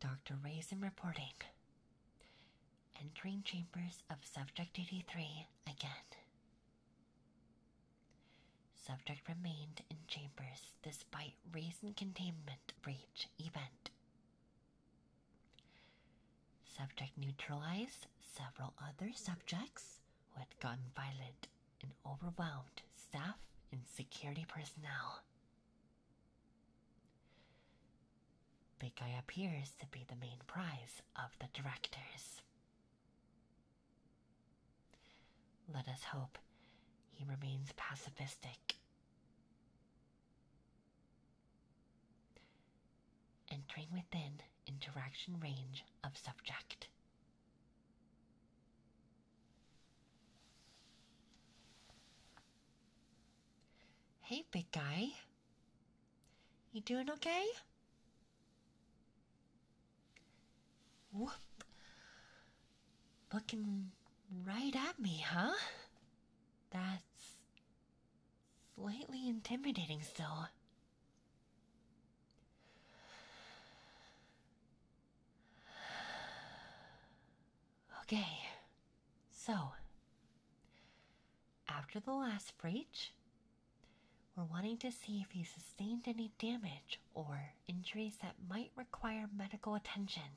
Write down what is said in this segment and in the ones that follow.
Dr. Raisin reporting. Entering chambers of Subject 83 again. Subject remained in chambers despite Raisin containment breach event. Subject neutralized several other subjects who had gone violent and overwhelmed staff and security personnel. Big Guy appears to be the main prize of the directors. Let us hope he remains pacifistic. Entering within interaction range of subject. Hey, big guy. You doing okay? Whoop. Looking right at me, huh? That's slightly intimidating still. Okay, so after the last breach, we're wanting to see if you sustained any damage or injuries that might require medical attention.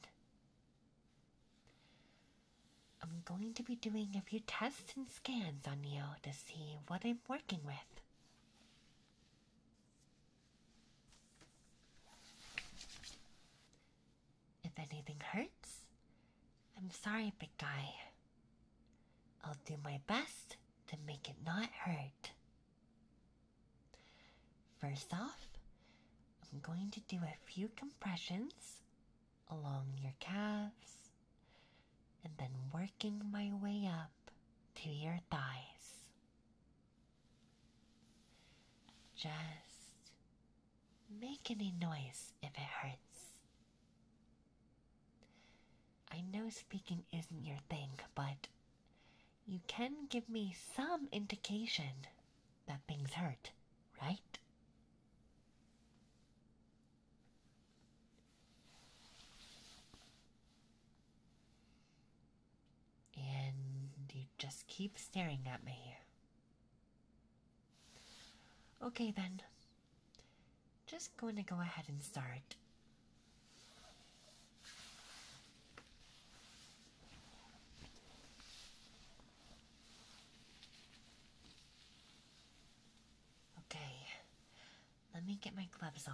I'm going to be doing a few tests and scans on you to see what I'm working with. If anything hurts, I'm sorry, big guy. I'll do my best to make it not hurt. First off, I'm going to do a few compressions along your calves and then working my way up to your thighs. Just make any noise if it hurts. I know speaking isn't your thing, but you can give me some indication that things hurt, right? And you just keep staring at me. Okay, then. Just going to go ahead and start. Okay, let me get my gloves on.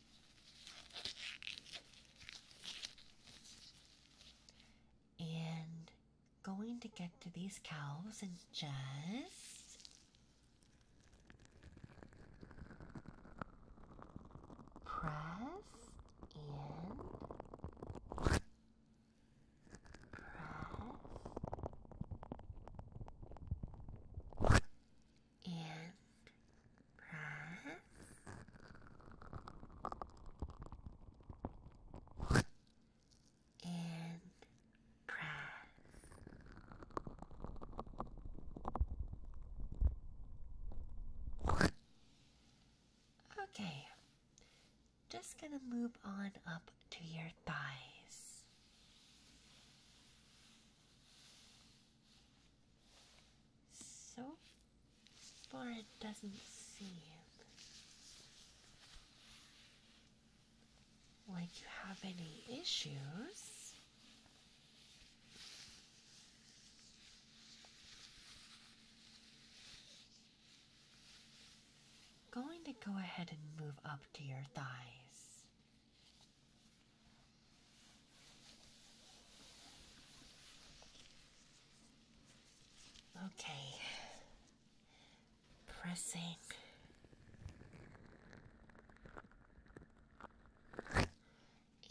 And going to get to these cows and just press and press and press and press. Okay, just gonna move on up to your thighs. So far, it doesn't seem like you have any issues. Going to go ahead and move up to your thighs. Okay. Pressing.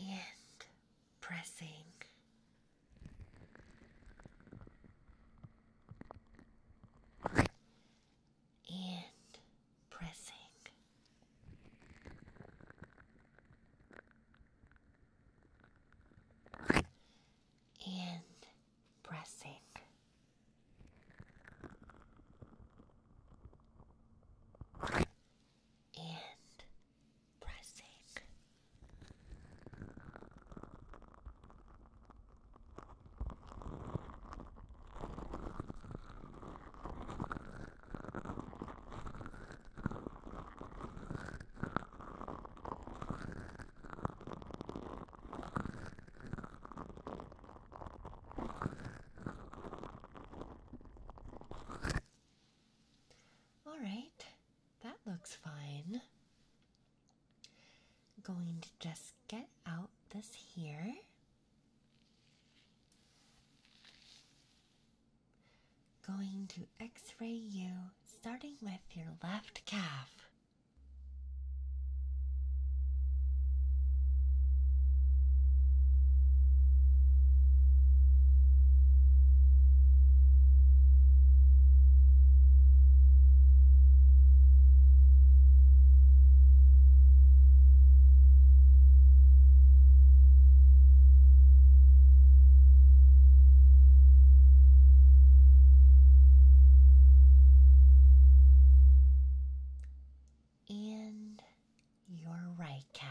And pressing. And pressing. And pressing. And pressing. All right, that looks fine. Going to just get out this here. Going to x ray you starting with your left calf and your right calf.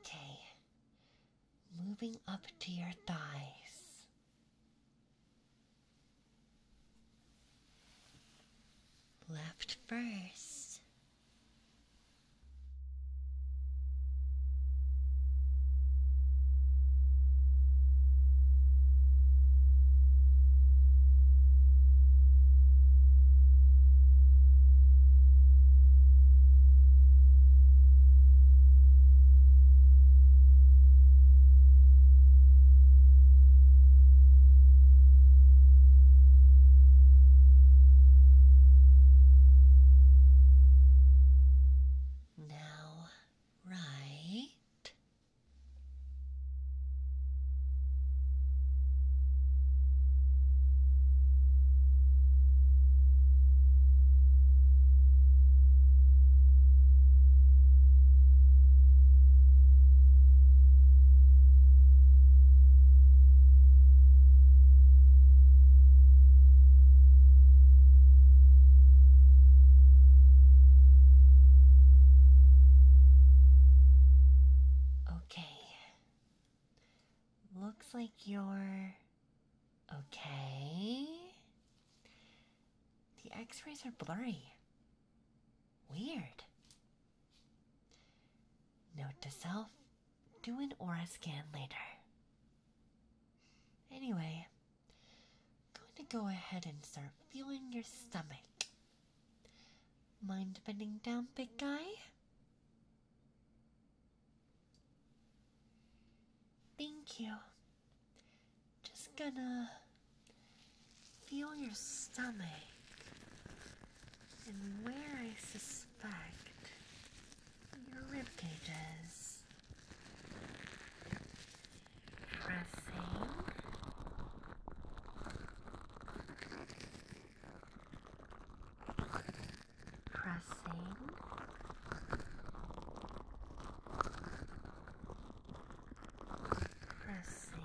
Okay, moving up to your thighs. Left first. Now, right. Okay. Looks like you're okay. The x rays are blurry. Weird. Note to self do an aura scan later. Anyway, I'm going to go ahead and start feeling your stomach. Mind bending down, big guy? Thank you. Just gonna Feel your stomach and where I suspect your rib cages. Pressing. Pressing pressing pressing pressing Pressing,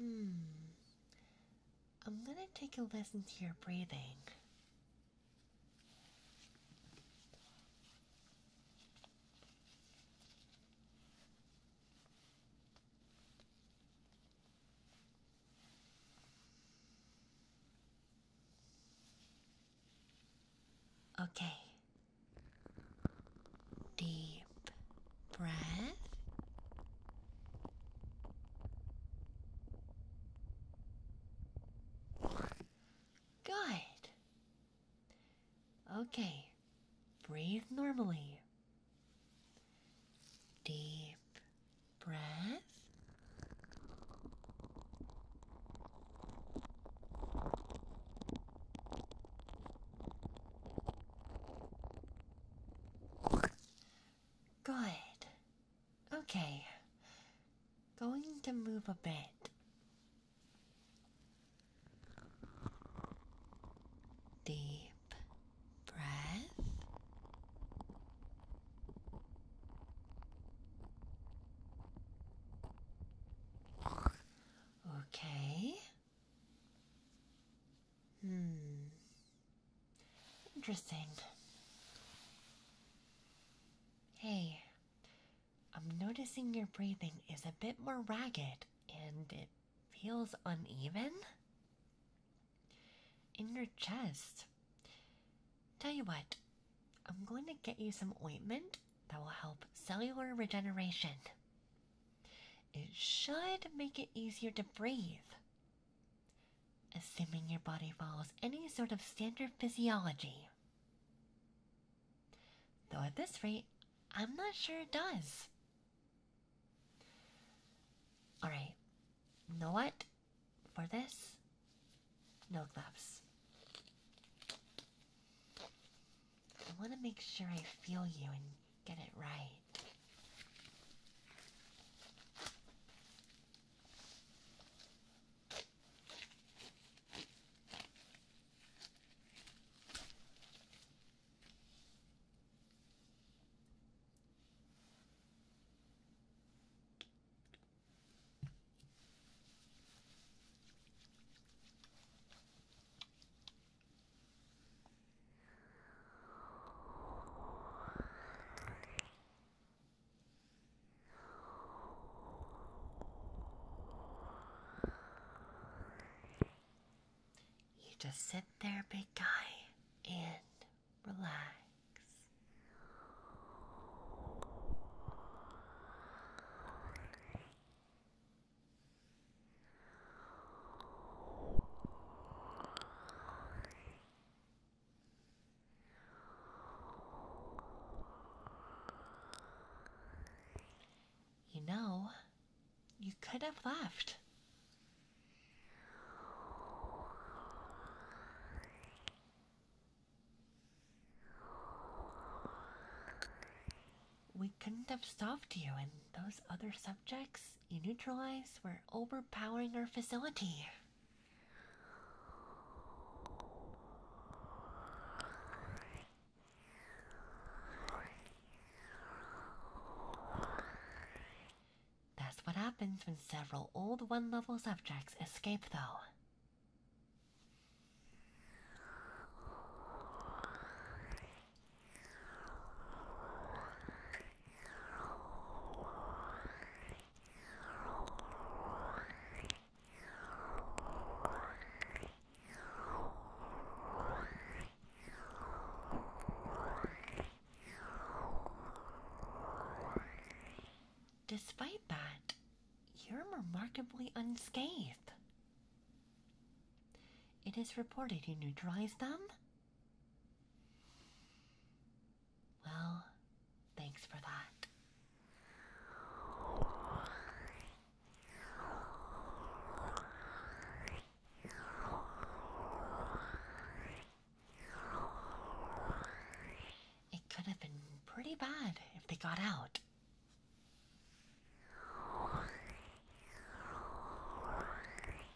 Hmm. I'm gonna take a listen to your breathing. Okay, Deep breath. Good. Okay, breathe normally. Deep breath. Good. Okay. Going to move a bit. Deep breath. Okay. Hmm. Interesting. Hey, I'm noticing your breathing is a bit more ragged and it feels uneven in your chest. Tell you what, I'm going to get you some ointment that will help cellular regeneration. It should make it easier to breathe. Assuming your body follows any sort of standard physiology. Though at this rate, I'm not sure it does. Alright, know what? For this, no gloves. I want to make sure I feel you and get it right. You just sit there, big guy, and relax. You know, you could have left. We couldn't have stopped you, and those other subjects you neutralized were overpowering our facility. That's what happens when several old one level subjects escape, though. Despite that, you're remarkably unscathed. It is reported you neutralized them well, thanks for that. It could have been pretty bad if they got out.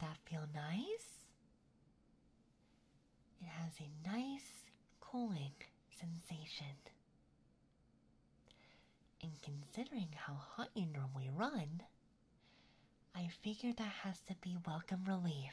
That feel nice? It has a nice cooling sensation. And considering how hot you normally run, I figure that has to be welcome relief.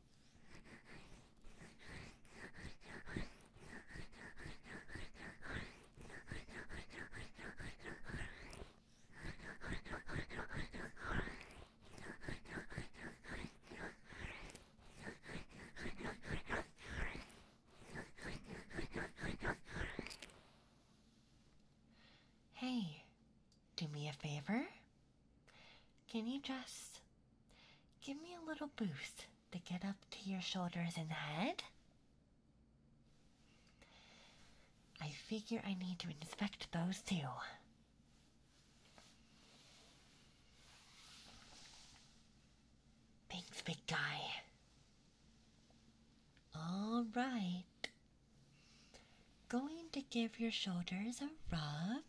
Hey, do me a favor? Can you just give me a little boost to get up to your shoulders and head? I figure I need to inspect those too. Thanks, big guy. All right. Going to give your shoulders a rub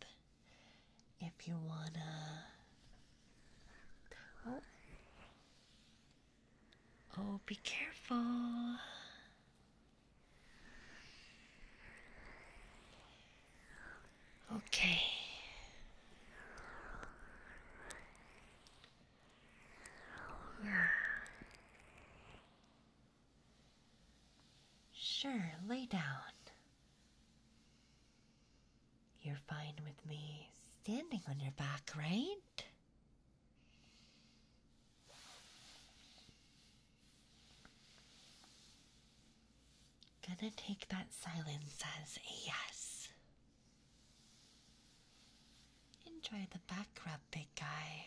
if you wanna Oh, be careful. Okay. Yeah. Sure, lay down. You're fine with me standing on your back, right? Gonna take that silence as a yes. Enjoy the back rub, big guy.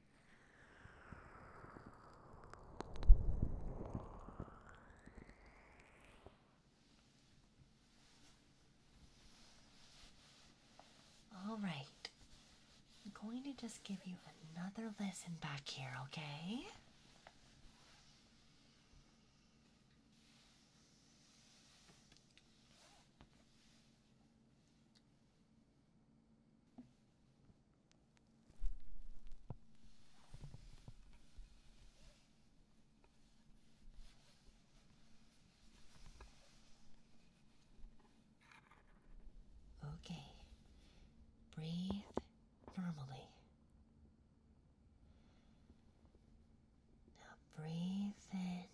All right. I'm going to just give you another lesson back here, okay? Okay, breathe normally. Now breathe in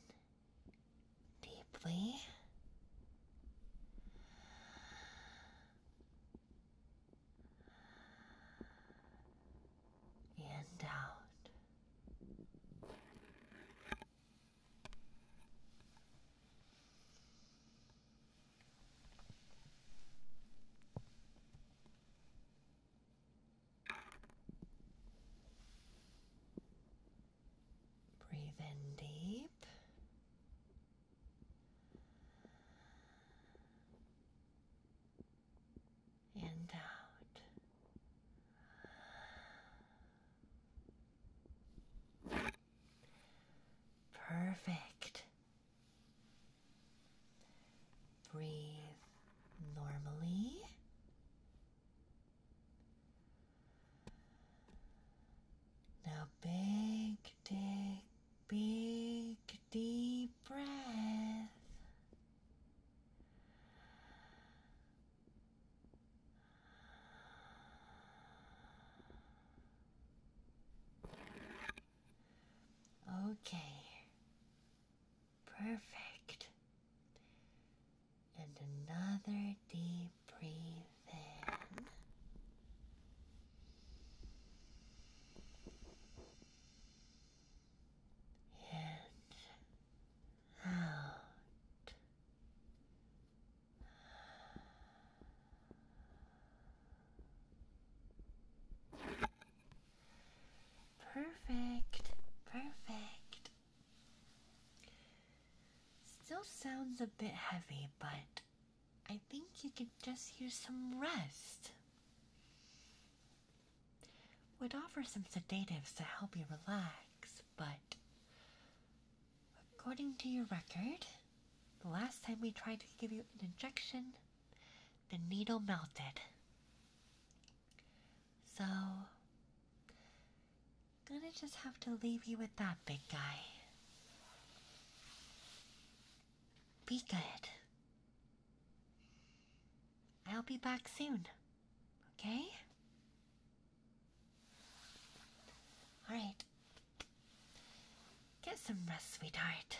deeply and out. Breathe in deep and Perfect. Breathe normally. Now, big, dig Big deep breath. Okay, perfect. And another deep breath in in, out. Perfect, perfect. Still sounds a bit heavy, but I think you could just use some rest. We'd offer some sedatives to help you relax, but according to your record, the last time we tried to give you an injection, the needle melted. So, gonna just have to leave you with that, big guy. Be good. I'll be back soon. Okay? Alright. Get some rest, sweetheart.